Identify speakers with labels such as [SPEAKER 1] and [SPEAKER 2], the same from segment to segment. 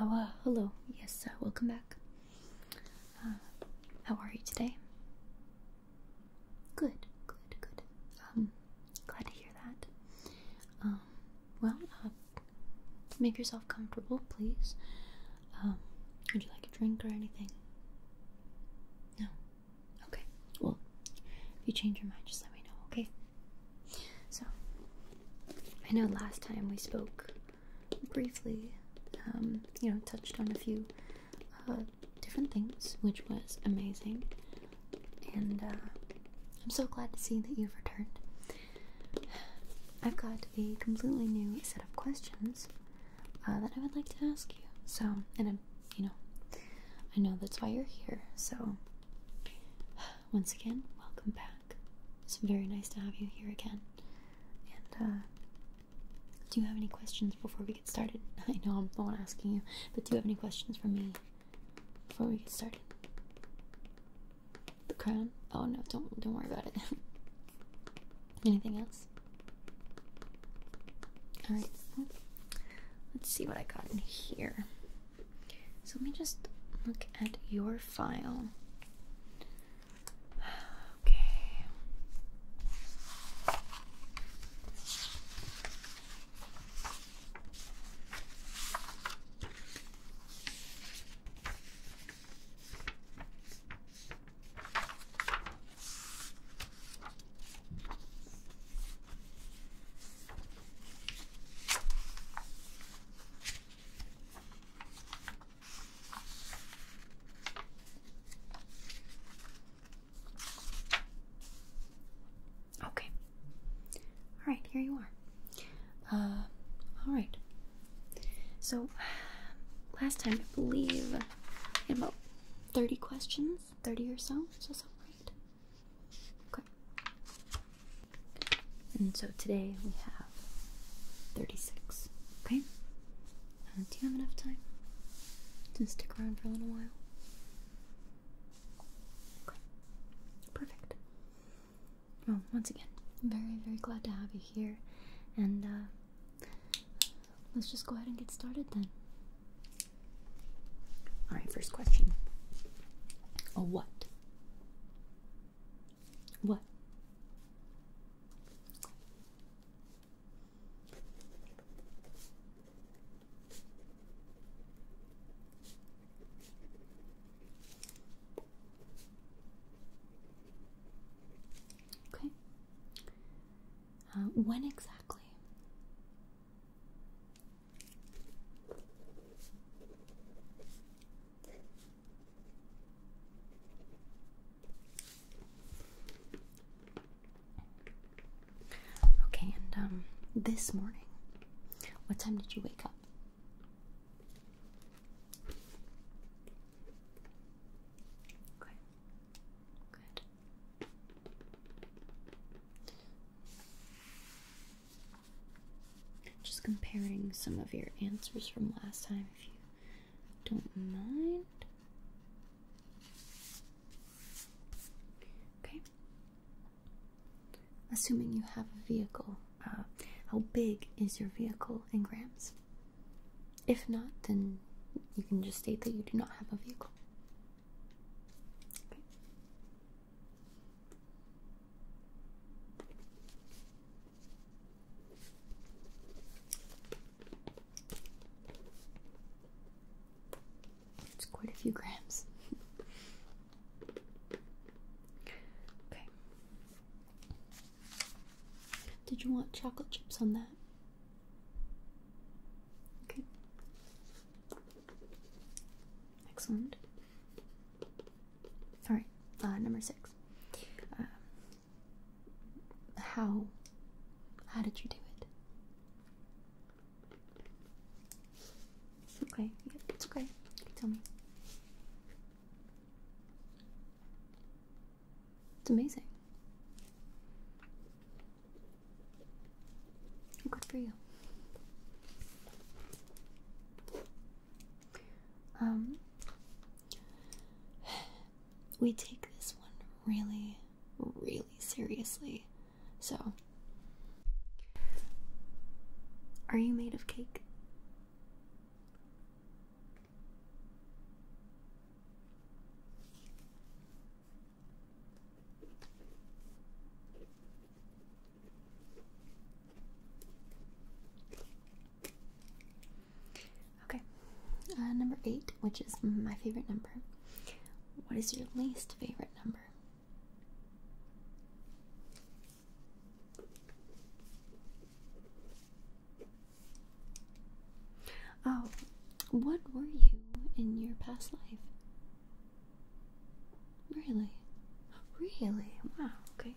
[SPEAKER 1] Oh, uh, hello. Yes, uh, welcome back. Uh, how are you today? Good, good, good. Um, glad to hear that. Um, well, uh, make yourself comfortable, please. Um, would you like a drink or anything? No. Okay. Well, if you change your mind, just let me know, okay? So, I know last time we spoke briefly, um, you know, touched on a few uh, different things, which was amazing. And uh, I'm so glad to see that you've returned. I've got a completely new set of questions uh, that I would like to ask you. So, and you know, I know that's why you're here. So, once again, welcome back. It's very nice to have you here again. And, uh, do you have any questions before we get started? I know I'm the one asking you, but do you have any questions for me before we get started? The crown? Oh no, don't don't worry about it. Anything else? Alright. Let's see what I got in here. So let me just look at your file. Okay. Okay. All right, here you are. Uh, all right. So, last time I believe I about 30 questions. 30 or so. So that sound Okay. And so today we have 36. Okay? Uh, do you have enough time to stick around for a little while? Perfect. Well, once again, very, very glad to have you here. And uh, Let's just go ahead and get started then. Alright, first question. A what? What? Okay. Uh, when exactly? Okay, and um, this morning, what time did you wake up? Just comparing some of your answers from last time, if you don't mind. Okay. Assuming you have a vehicle, uh, how big is your vehicle in grams? If not, then you can just state that you do not have a vehicle. It's quite a few grams. okay. Did you want chocolate chips on that? Okay. Excellent. All right. Uh, number six. Um, how? How did you do it? It's okay. It's okay. tell me. It's amazing. Good for you. Um, we take this one really, really seriously. So, are you made of cake? Okay, uh, number eight, which is my favorite number. What is your least favorite number? Oh, what were you in your past life? Really? Really? Wow, okay.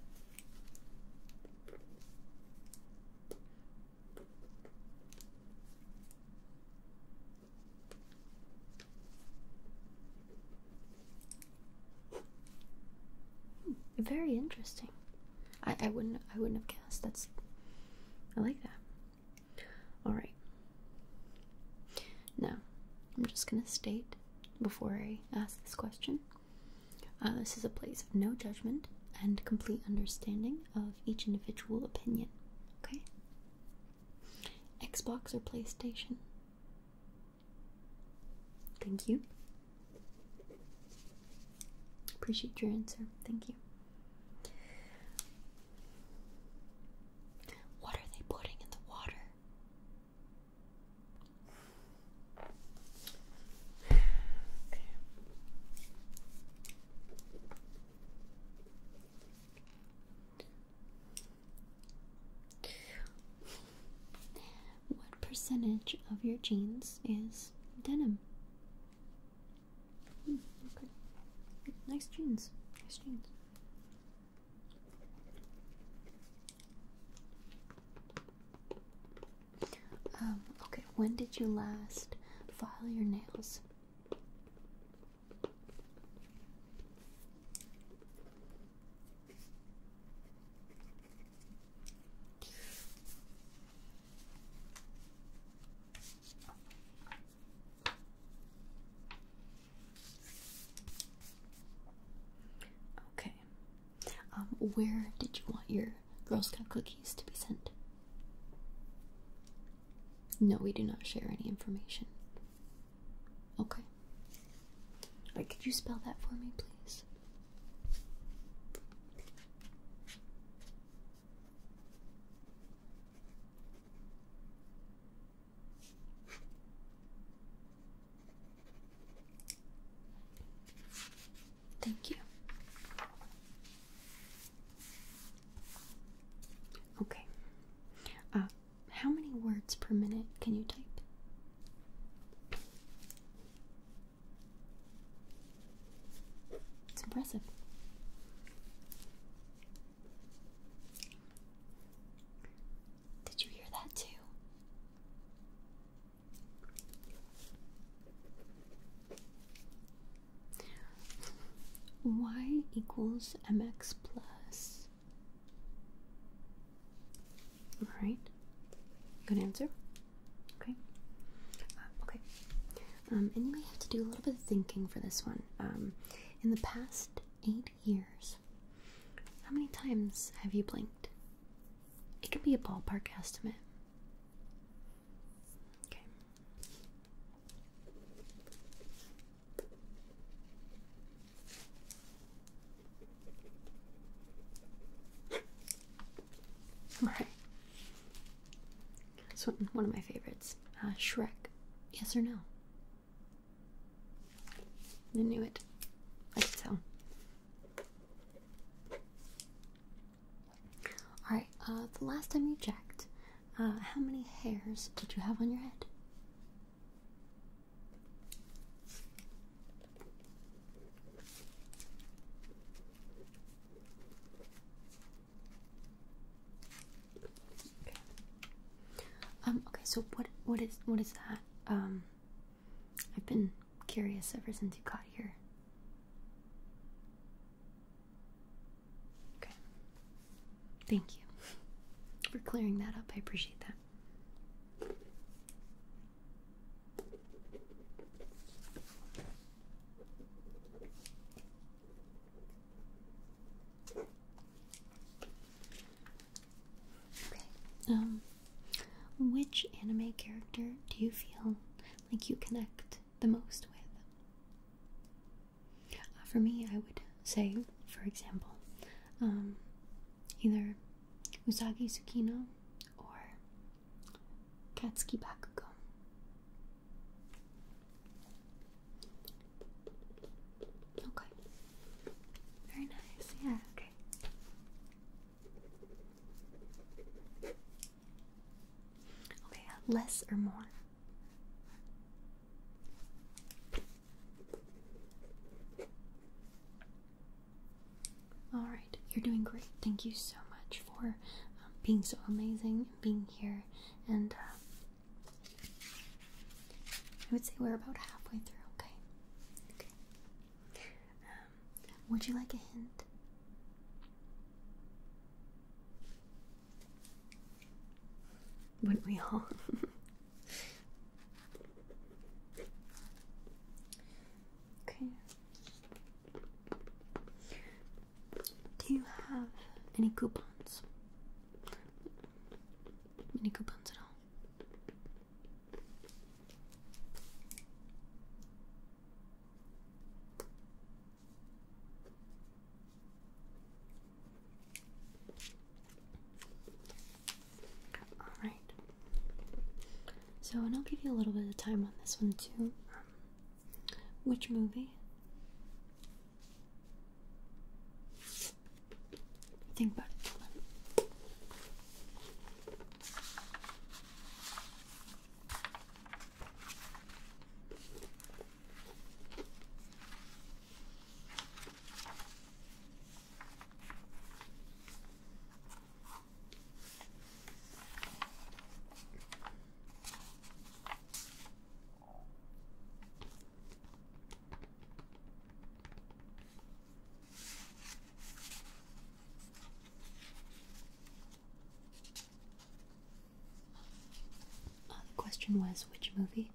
[SPEAKER 1] Hmm, very interesting. I, I wouldn't I wouldn't have guessed. That's I like that. Alright. Now, I'm just going to state before I ask this question uh, this is a place of no judgment and complete understanding of each individual opinion. Okay? Xbox or PlayStation? Thank you. Appreciate your answer. Thank you. What are they putting in the water? What percentage of your jeans is denim? Nice jeans. Nice jeans. Um, okay, when did you last file your nails? Okay. Um, where did you want your Girl Scout cookies to be sent? No, we do not share any information. Okay. Wait, could you spell that for me, please? Thank you. Okay. Uh, how many words per minute can you type? It's impressive. Did you hear that too? y equals mx plus. Alright, good answer. Okay. Um, okay. Um, and you may have to do a little bit of thinking for this one. Um, in the past eight years, how many times have you blinked? It could be a ballpark estimate. Okay. Alright. That's one, of my favorites. Uh, Shrek. Yes or no? I knew it. I could tell. Alright, uh, the last time you checked, uh, how many hairs did you have on your head? Okay. Um, okay, so what what is what is that? Um I've been curious ever since you got here. Okay. Thank you for clearing that up. I appreciate that. Okay. Um, which anime character do you feel like you connect the most with? Uh, for me, I would say, for example, um, either Usagi Tsukino or Katsuki Bakugo. Okay. Very nice. Yeah, okay. Okay, less or more? All right, you're doing great. Thank you so much for um, being so amazing, being here, and uh, I would say we're about halfway through. Okay. Um, would you like a hint? Wouldn't we all? Okay. Do you have any coupons? Any coupons at all? Alright. So, and I'll give you a little bit of time on this one too. Um, which movie? Think about uh, the question was which movie?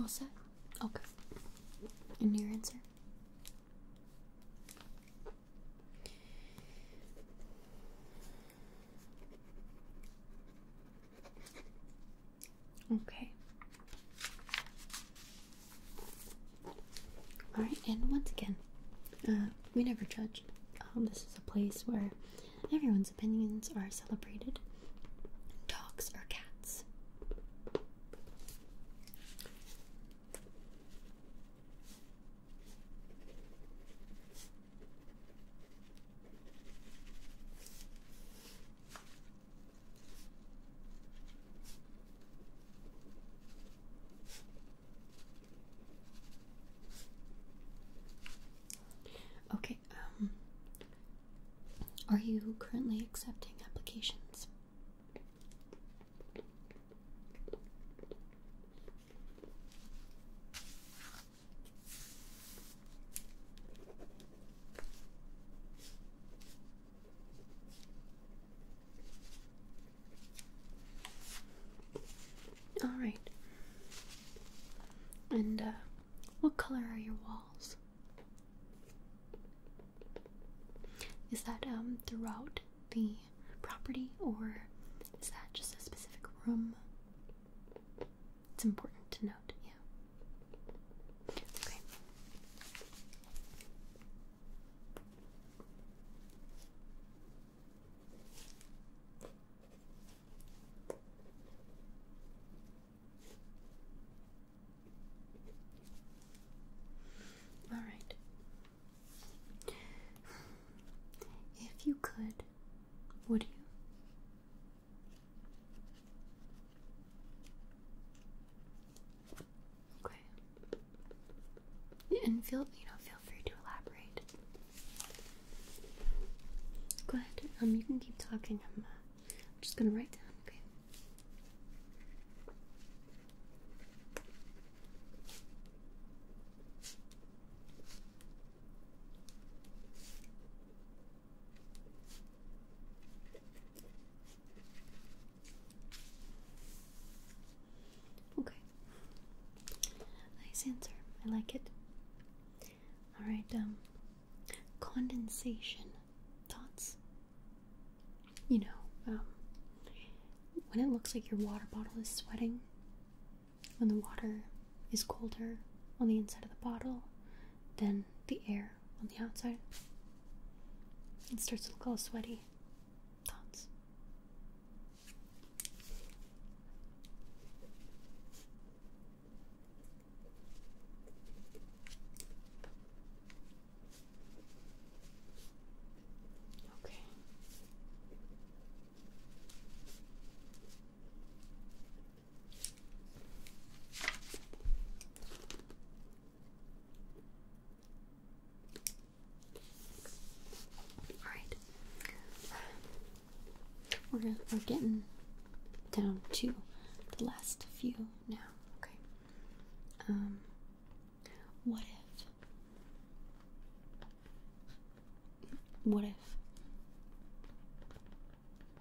[SPEAKER 1] All set? Okay. And your answer? Okay. Alright, and once again, uh, we never judge. Um, this is a place where everyone's opinions are celebrated. Dogs or cats. Okay, um, are you currently accepting applications? All right. And uh, what color are your walls? Is that um throughout the property or is that just a specific room? It's important to note, yeah. All right. If you could, would you? Okay. And feel you know feel free to elaborate. Go ahead. Um, you can keep talking. I'm, uh, I'm just gonna write down. Okay. Okay. Nice answer. I like it. Alright, um, condensation thoughts. You know, um, when it looks like your water bottle is sweating, when the water is colder on the inside of the bottle than the air on the outside. It starts to look all sweaty. Thoughts? Okay. All right, gonna, we're getting down to the last few now. Okay. Um, what if? What if?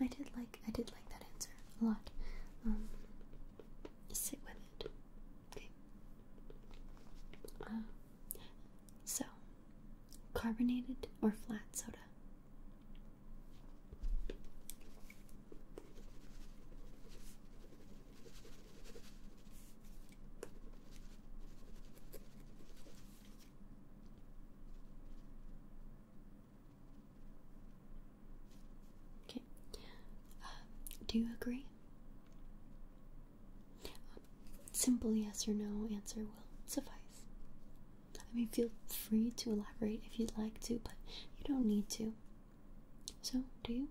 [SPEAKER 1] I did like I did like that answer a lot. Um, sit with it. Okay. Uh, so, carbonated or flat soda? Okay. Uh, do you agree? simple yes or no answer will suffice. I mean, feel free to elaborate if you'd like to, but you don't need to. So, do you?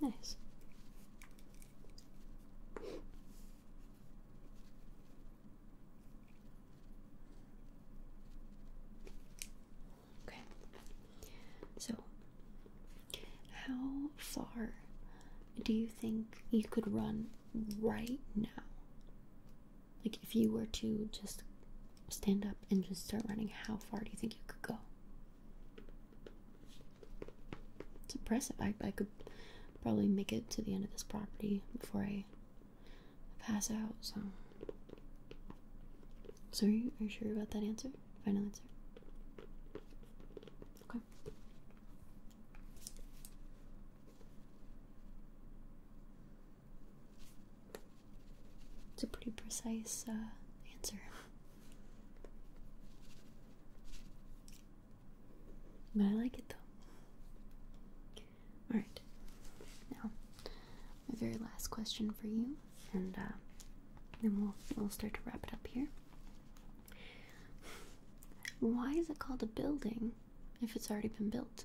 [SPEAKER 1] Nice. Okay. So, how far do you think you could run right now? Like, if you were to just stand up and just start running, how far do you think you could go? It's impressive. I, I could probably make it to the end of this property before I pass out, so. So, are you, are you sure about that answer? Final answer? Okay. It's a pretty precise uh, answer. But I like it though. Alright. Now, my very last question for you, and uh, then we'll, we'll start to wrap it up here. Why is it called a building if it's already been built?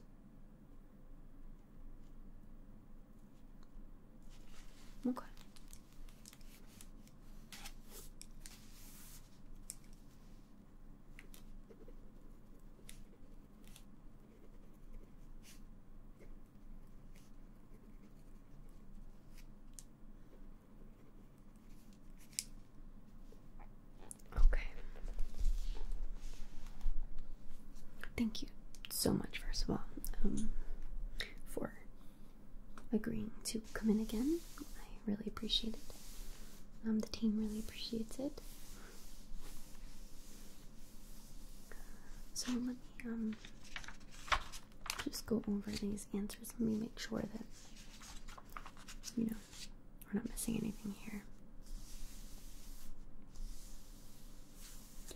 [SPEAKER 1] Okay. Okay. Thank you so much, first of all, um, for agreeing to come in again. I really appreciate it. Um, the team really appreciates it. So let me um just go over these answers. Let me make sure that you know we're not missing anything here. So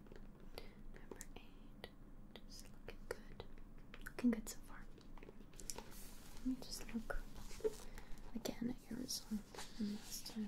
[SPEAKER 1] Number eight. Just looking good. Looking good so far. Let me just look again at your results from last time.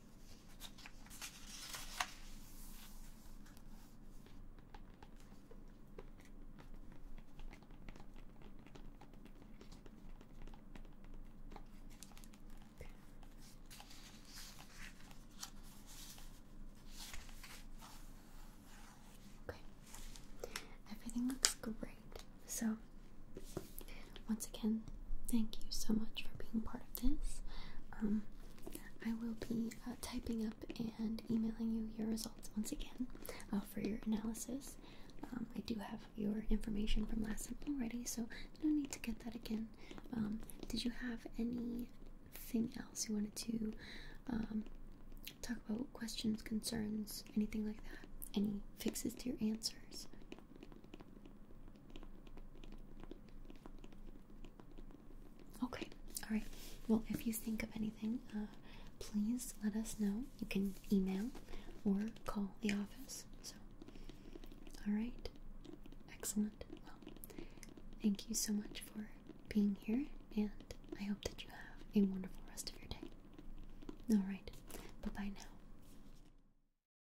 [SPEAKER 1] Okay. Everything looks great. So once again, thank you so much for being part of this. Um, I will be uh, typing up and emailing you your results once again uh, for your analysis. Um, I do have your information from last time already, so no need to get that again. Um, did you have anything else you wanted to talk about? Questions, concerns, anything like that? Any fixes to your answers? Okay, alright. Well, if you think of anything, uh, please let us know. You can email or call the office. So, alright. Excellent. Well, thank you so much for being here, and I hope that you have a wonderful rest of your day. Alright, bye bye now.